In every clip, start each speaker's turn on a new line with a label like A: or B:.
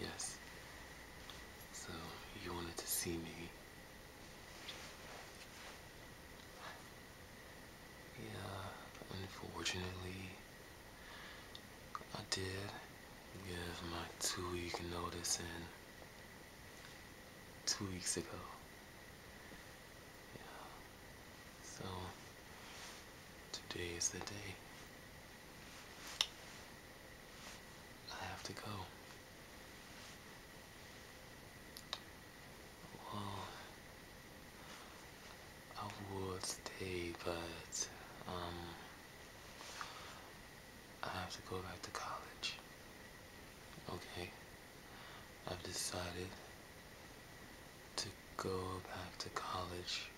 A: Yes. So you wanted to see me. Yeah, unfortunately, I did give my two week notice in two weeks ago. Yeah. So today is the day. I have to go. Well, I would stay, but um, I have to go back to college. Okay, I've decided to go back to college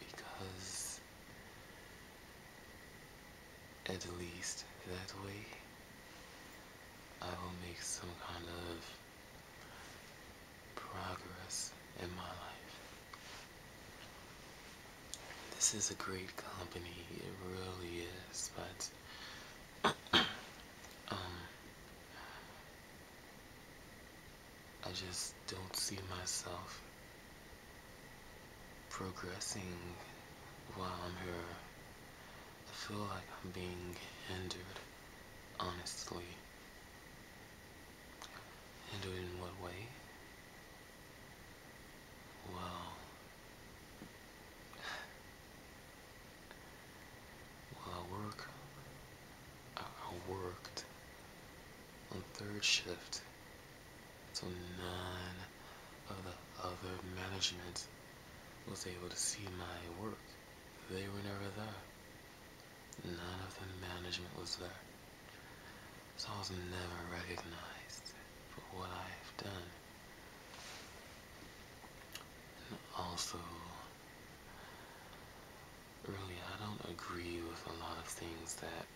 A: because at least that way I will make some kind of progress in my life. This is a great company, it really is, but um, I just don't see myself progressing while I'm here. I feel like I'm being hindered, honestly. Hindered in what way? Well, well, work I, worked on third shift so none of the other management was able to see my work. They were never there. None of the management was there. So I was never recognized for what I've done. also, earlier, I don't agree with a lot of things that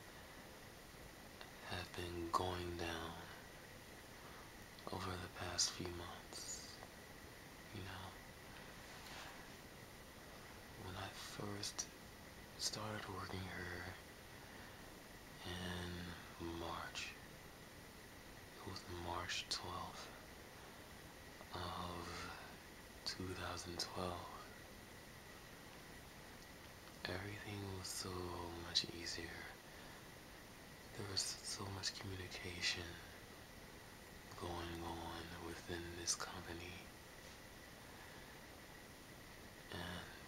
A: have been going down over the past few months. You know, when I first started working here in March, it was March 12th of 2012, everything was so much easier. There was so much communication going on within this company. And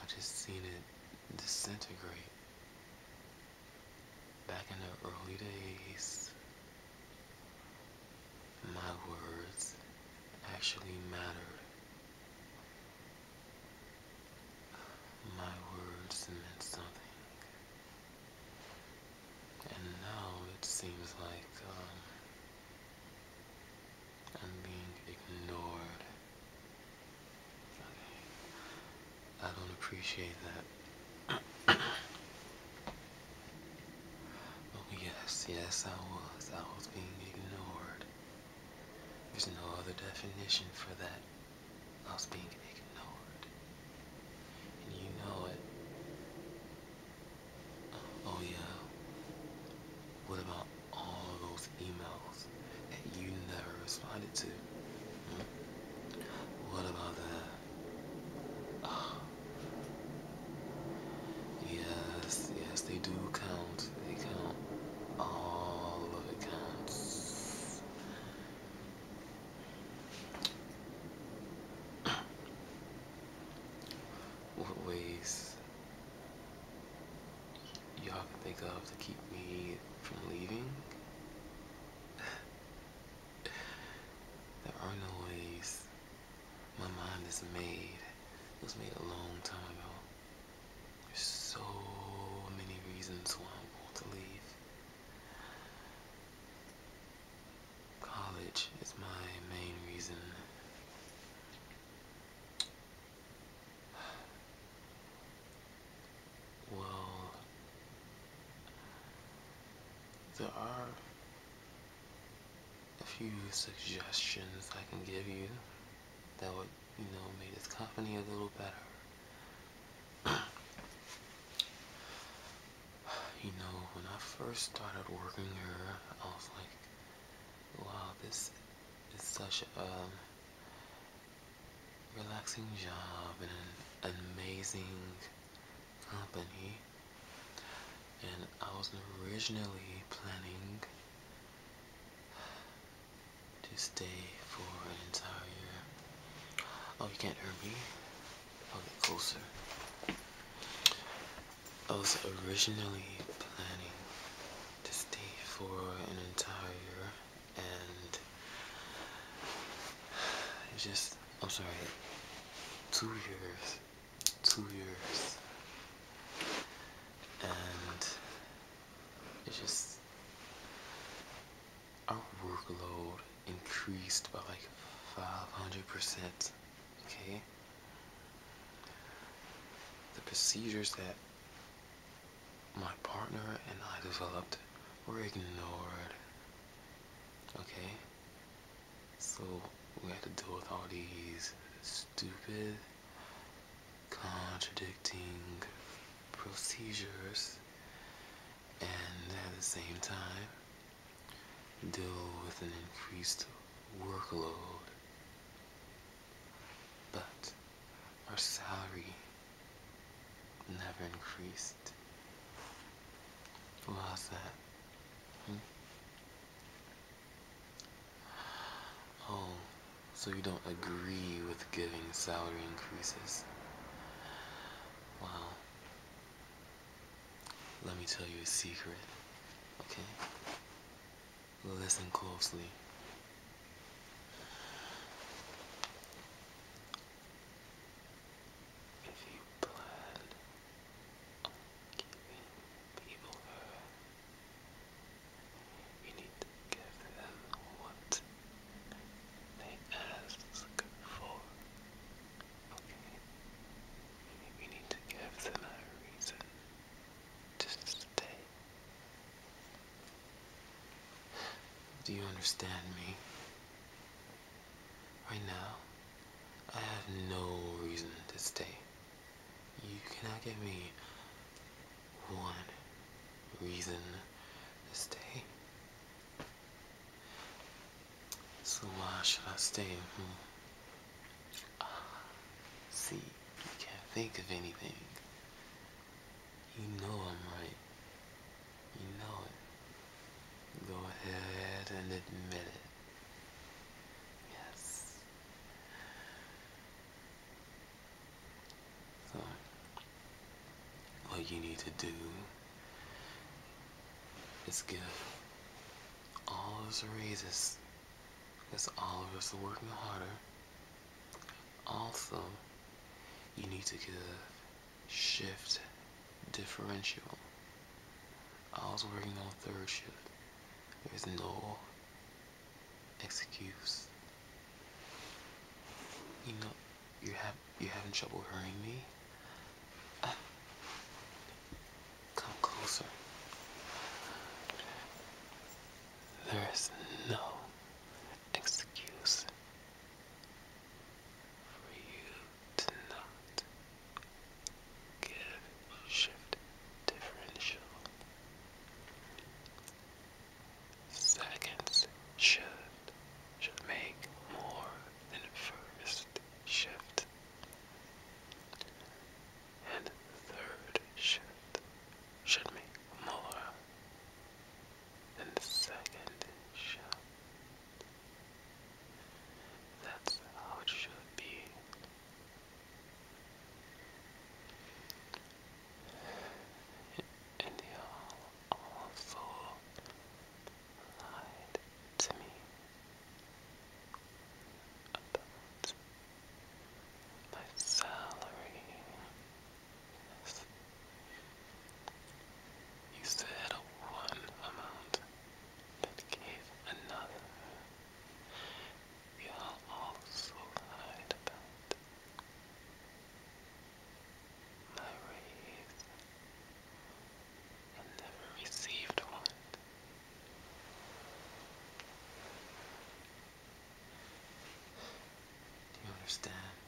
A: I just seen it disintegrate Back in the early days, my words actually mattered. My words meant something. And now it seems like um, I'm being ignored I don't appreciate that. oh yes, yes I was. I was being ignored. There's no other definition for that. I was being ignored. And you know it. Oh yeah. What about all those emails? that you never responded to? Hmm? What about that? Ah. Yes, yes, they do count. They count. All of it counts. what ways y'all can think of to keep me from leaving. there are no ways. My mind is made. It was made a long time ago. There's so many reasons why I want to leave. College is my main reason. Well, there are a few suggestions I can give you that would, you know, make this company a little better. you know, when I first started working here, I was like, wow, this is such a, relaxing job and an amazing company. And I was originally planning to stay for an entire year. Oh, you can't hear me? I'll get closer. I was originally planning to stay for an entire year and it's just I'm sorry two years two years and it's just our workload increased by like 500% okay the procedures that my partner and I developed were ignored. Okay? So we had to deal with all these stupid, contradicting procedures and at the same time deal with an increased workload. But our salary never increased. How's that? Hmm? Oh, so you don't agree with giving salary increases? Wow. Let me tell you a secret, okay? Listen closely. If you plan on giving people hurt, you need to give them what they ask for. You need to give them a reason just stay. Do you understand me? Right now, I have no reason to stay. You cannot give me one reason to stay. So why should I stay? Hmm? see, you can't think of anything. You know I'm right. You know it. Go ahead and admit it. Yes. So, what you need to do is give all those raises because all of us are working harder. Also, you need to give shift differential. I was working on third shift. There's no excuse. You know, you have you having trouble hearing me. Come closer. There is no excuse for you to not give shift differential. Seconds should should make more than first shift and the third should should make more than the second shift. That's how it should be. And they all also lied to me about my salary. You said one amount, but gave another. You also lied about my raise and never received one. Do you understand?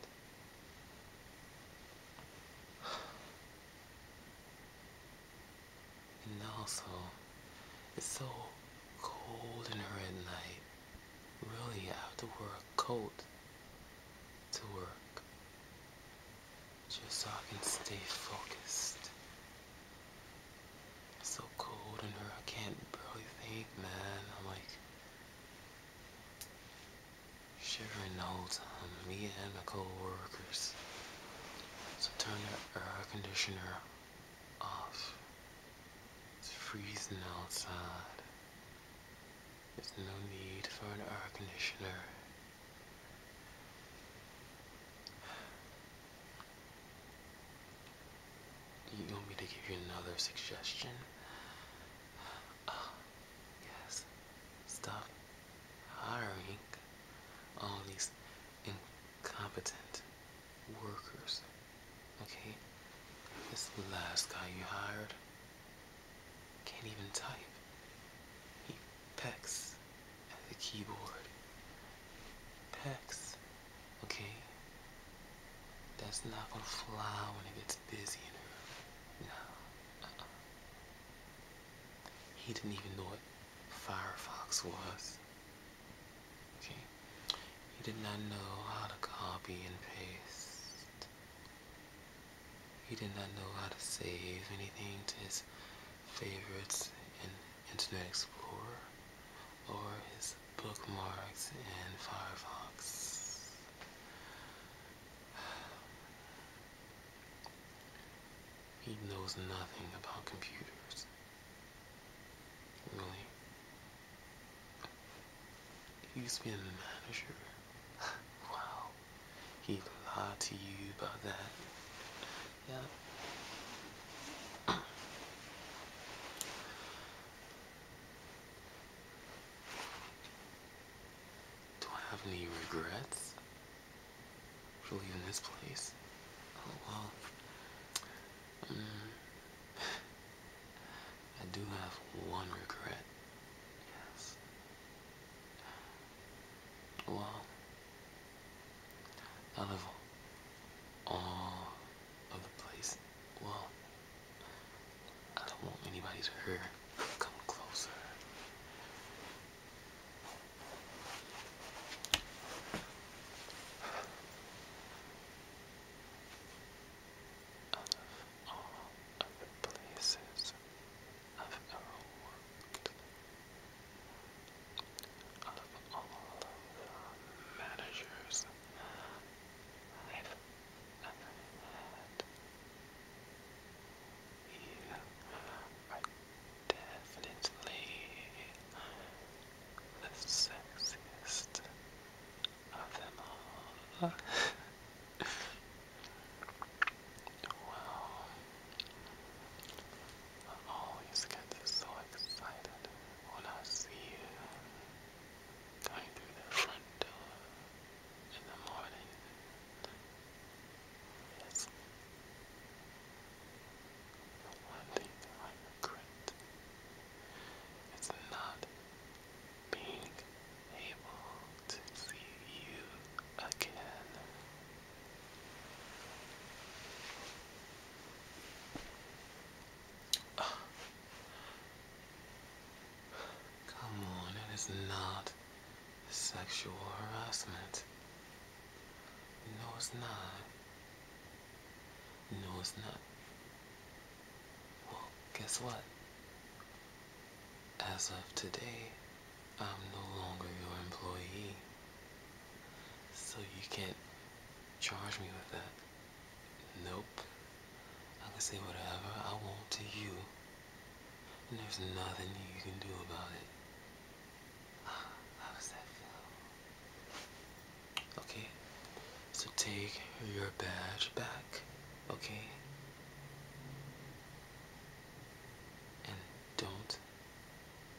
A: And also, it's so cold in here at night. Really, I have to wear a coat to work just so I can stay focused. It's so cold in here, I can't barely think, man. I'm like shivering the whole time, me and my coworkers. So turn the air conditioner off. It's freezing outside. There's no need for an air conditioner you want me to give you another suggestion? Oh, yes. Stop hiring all these incompetent workers. Okay? This last guy you hired, can't even type. He pecks at the keyboard. Pecks, okay? That's not gonna fly when it gets busy No. Uh-uh. He didn't even know what Firefox was. Okay? He did not know how to copy and paste. He did not know how to save anything to his favorites in Internet Explorer or his bookmarks in Firefox. He knows nothing about computers. Really? He used to be a manager. wow. He lied to you about that. Yeah. Do I have any regrets leaving this place? Oh well. Mm. I do have one regret. Yes. Well, out of all of the place, well, I don't want anybody to hear. Come closer of all other places I've of the managers I've ever had, you are definitely the sexiest of them all. Wow. I always get so excited when I see you going through the front door in the morning. Yes. The one thing I regret is not being able to see you again. Come on, that is not sexual harassment. No, it's not. No, it's not. Well, guess what? As of today, I'm no longer your employee. So you can't charge me with that. Nope. I can say whatever I want to you. And there's nothing you can do about it. How does that feel? Okay. So take your badge back. Okay. And don't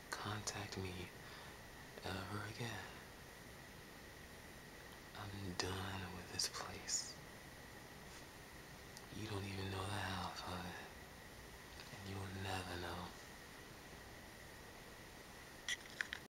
A: contact me ever again. I'm done with this place. You don't even know the half of it. And you'll never know.